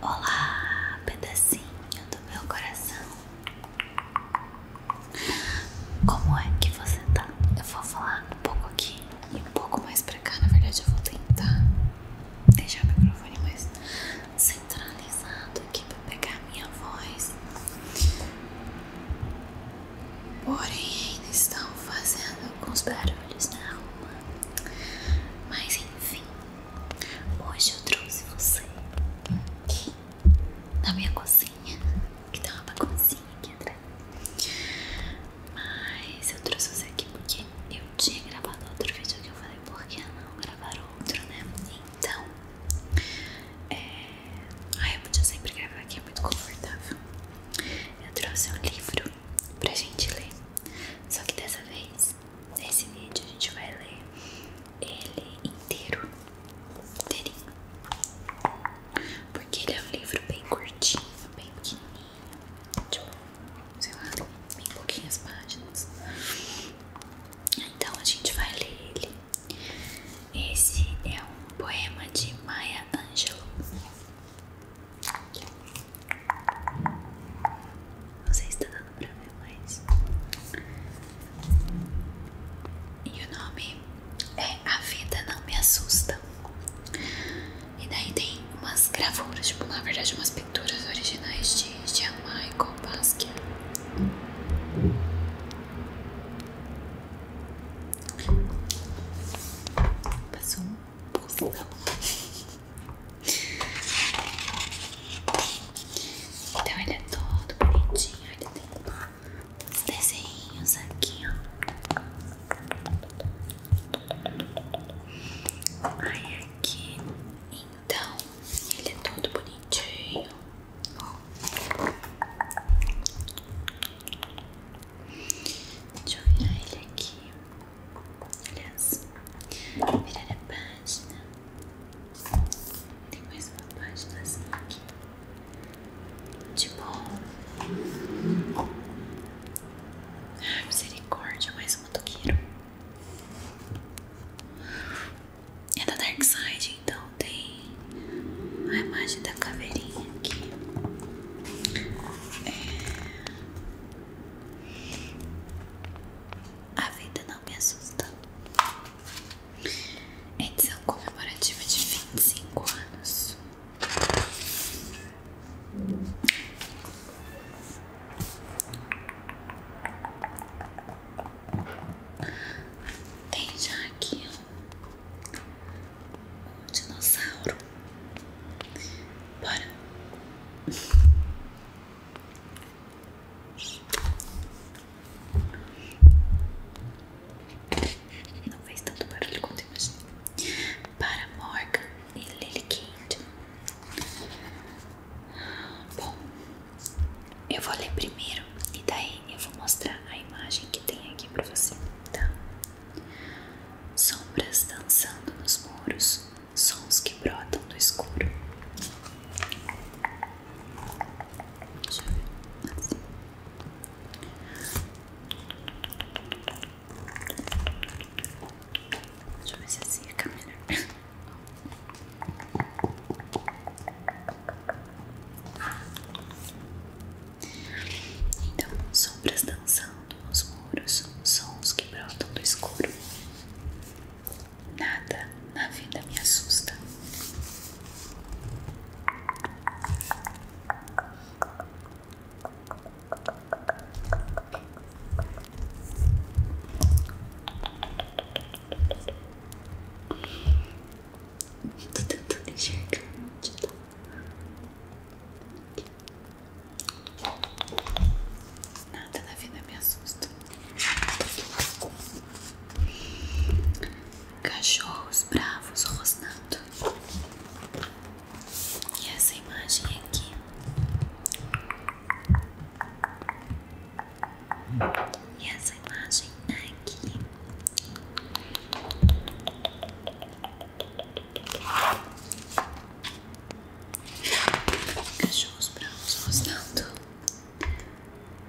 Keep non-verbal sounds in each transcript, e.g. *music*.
Olá, pedacinho do meu coração. Como é que você tá? Eu vou falar um pouco aqui e um pouco mais pra cá. Na verdade, eu vou tentar deixar o microfone mais centralizado aqui pra pegar a minha voz. Porém, ainda estão fazendo alguns barulhos na rua. Mas enfim, Hoje eu trouxe você aqui na minha cozinha, que tem tá uma baguncinha aqui atrás. Mas eu trouxe você aqui porque eu tinha gravado outro vídeo que eu falei, por que não gravar outro, né? Então, é... Ai, eu podia sempre gravar aqui, é muito confortável. Eu trouxe um livro pra gente ler, só que dessa vez nesse vídeo a gente vai ler ele inteiro, inteirinho, porque ele é um livro bem curtinho, bem pequenininho, tipo, sei lá, bem pouquinhas páginas. Então a gente vai ler ele. Esse é um poema de Maya Angelou. Você está dando pra ver mais. E o nome é A Vida Não Me Assusta. E daí tem umas gravuras, tipo, na verdade, umas pinturas originais de Jean Michael Basquiat. Passou um pulsão. Então ele é todo bonitinho, ele tem uns desenhos aqui, ó. Aí aqui, então, ele é todo bonitinho. Deixa eu virar ele aqui. Aliás, virar a página. Tem mais uma página assim aqui. Tipo. Ai, misericórdia, mais um motoqueiro. É da Dark Side, então tem a imagem da caveirinha aqui. É... A vida não me assusta. Edição comemorativa de vinte e cinco anos. Tem já aqui um dinossauro para Não fez tanto barulho quanto eu imaginei. Para Morgan e Lily Kate. Bom, eu vou ler primeiro e daí eu vou mostrar a imagem que tem aqui pra você, tá? Sombras dançando nos muros, sons que brotam do escuro. Deixa eu ver. É assim. Deixa assim fica melhor. Então, sombras dançando os muros, são os que brotam do escuro. Nada na vida me assusta. Tô tentando enxergar Nada da vida me assusta. Cachorros bravos rosnando. E essa imagem aqui. E essa imagem aqui. Cachorros brancos rosnando,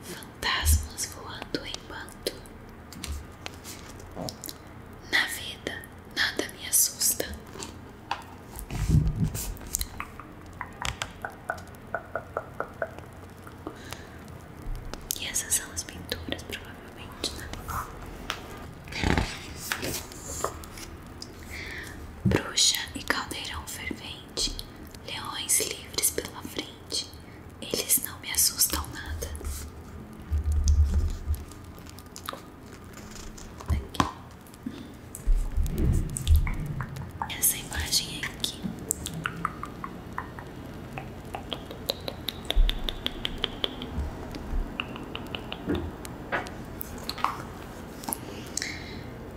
fantasmas voando em bando. Na vida, nada me assusta. E essas são as pinturas para provavelmente, né? Bruxa e caldeirão fervente, leões livres pela frente, eles não me assustam nada. Aqui. Essa imagem é aqui.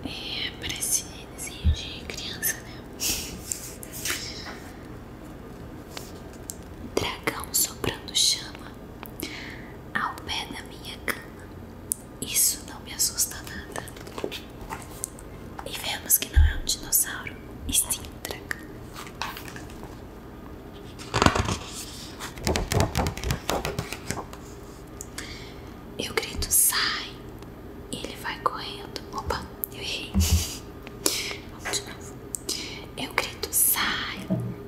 É, parece desenho de criança, né? Dragão soprando chama ao pé da minha cama. Isso não me assusta nada. E vemos que não é um dinossauro, e sim um dragão. Eu grito sai, ele vai correndo. Opa, eu errei. *laughs* Vamos de novo. Eu grito sai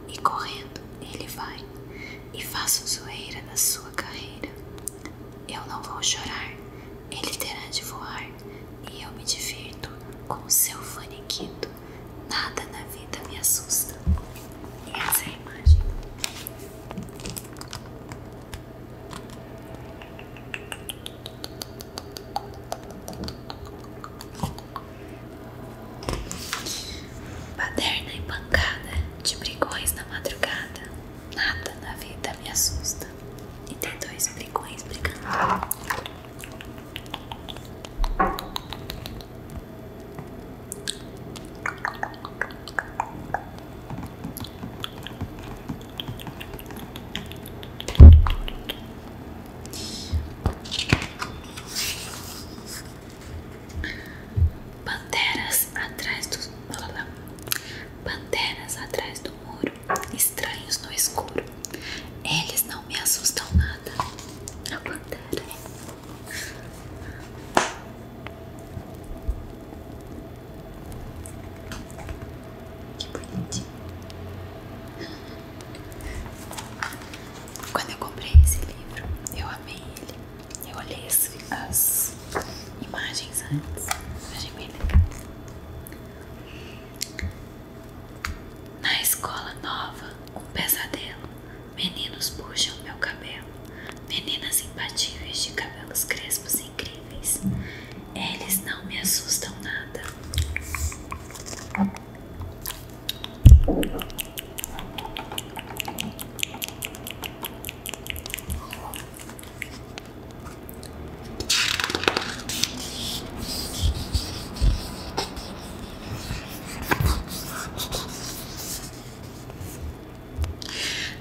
e correndo ele vai e faço zoeira na sua carreira. Eu não vou chorar, ele terá de voar e eu me divirto com o seu faniquito. Nada na vida me assusta. E essa é a imagem. Paderna e pancada de brigões na madrugada. Nada na vida me assusta. E tem dois brigões brigando. Panteras atrás do Panteras atrás do muro, estranhos no escuro. Eles não me assustam nada chamada A Que bonitinho. Quando eu comprei esse livro, eu amei ele. Eu olhei as, as imagens antes, achei bem legal. Na escola nova, um pesadelo. Meninos puxam meu cabelo. Meninas imbatíveis de cabelos crespos incríveis. Eles não me assustam nada.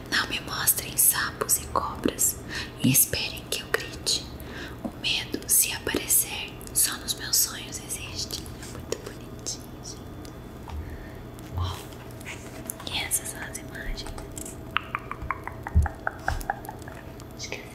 Não me mostrem sapos e cobras e esperem que eu grite. O medo, se aparecer, só nos meus sonhos existe. É muito bonitinho, gente. E essas são as imagens. Esqueci.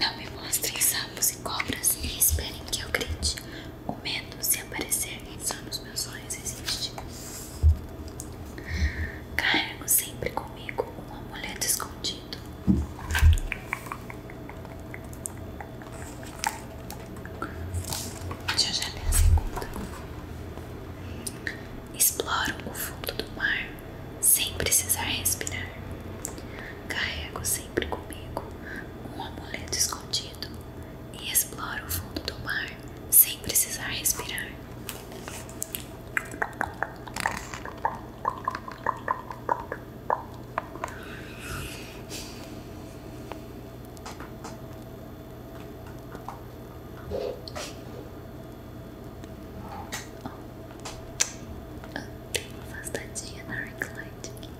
Não me mostrem sapos e cobras e esperem que eu grite. O medo, se aparecer, só nos meus olhos existe. Cargo sempre comigo um amuleto escondido. Deixa eu já ler a segunda. Exploro o fundo do mar sem precisar respirar. Carrego sempre comigo um amuleto escondido e exploro o fundo do mar sem precisar respirar. Tem uma afastadinha na Arc Light aqui.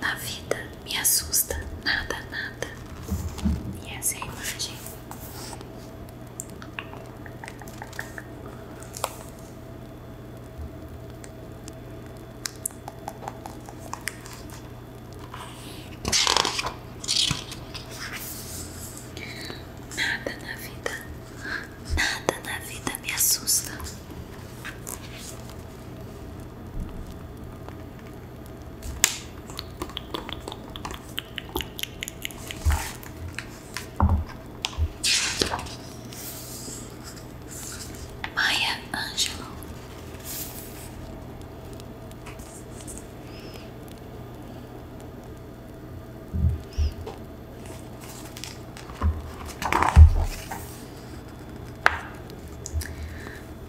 Na vida me assusta nada, nada. E essa é a imagem. Nada na vida, nada na vida me assusta. Maia Ângelo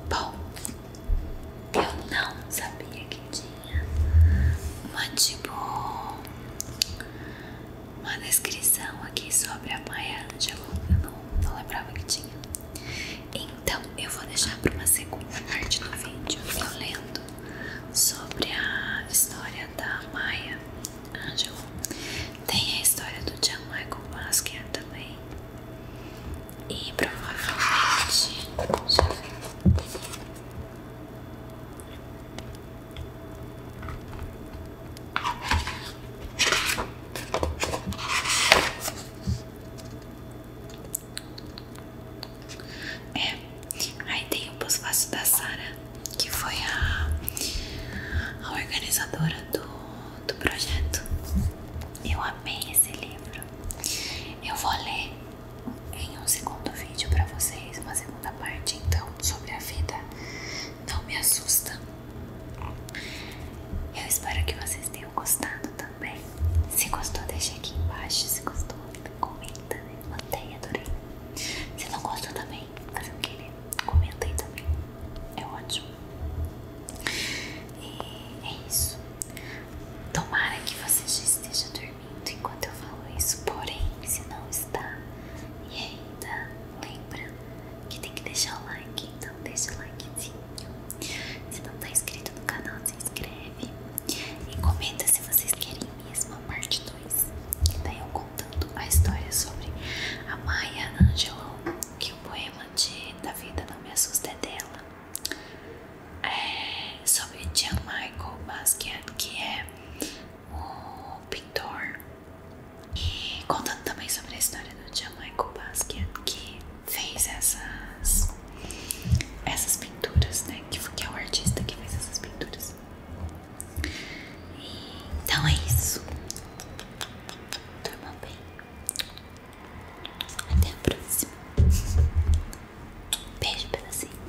Bom, eu não sabia que tinha uma tipo uma descrição aqui sobre a Maia Angelou. Eu não lembrava que tinha. Então eu vou deixar para uma segunda parte do vídeo eu lendo sobre a história da Maia Angelou. Tem a história do John Michael também. E provavelmente já é, aí tem o pós-fácil da Sara, que foi a, a organizadora do, do projeto. Eu amei esse livro. Eu vou ler em um segundo vídeo para vocês, uma segunda parte então sobre a vida não me assusta. Eu espero que vocês tenham gostado também. Se gostou, deixa aqui embaixo. Se gostou, comenta, né? Mantém, adorei. Se não gostou também, fazer o que né? comenta aí também. É ótimo. E é isso. Tomara que você já esteja dormindo enquanto eu falo isso. Porém, se não está e ainda lembra que tem que deixar o like, então deixa o likezinho. Se não tá inscrito no canal, se inscreve e comenta se vocês querem mesmo a parte 2. Daí tá eu contando a história sobre a Maya Angelou, que o poema de Da Vida Não Me Assusta é dela. É sobre Jean Michael Basquiat, que é o pintor e contando também sobre a história do John Michael Basquiat, que fez essas, essas pinturas, né? Que, que é o artista que fez essas pinturas. então é isso. Durma bem. Até a próxima. Beijo, pedacinho.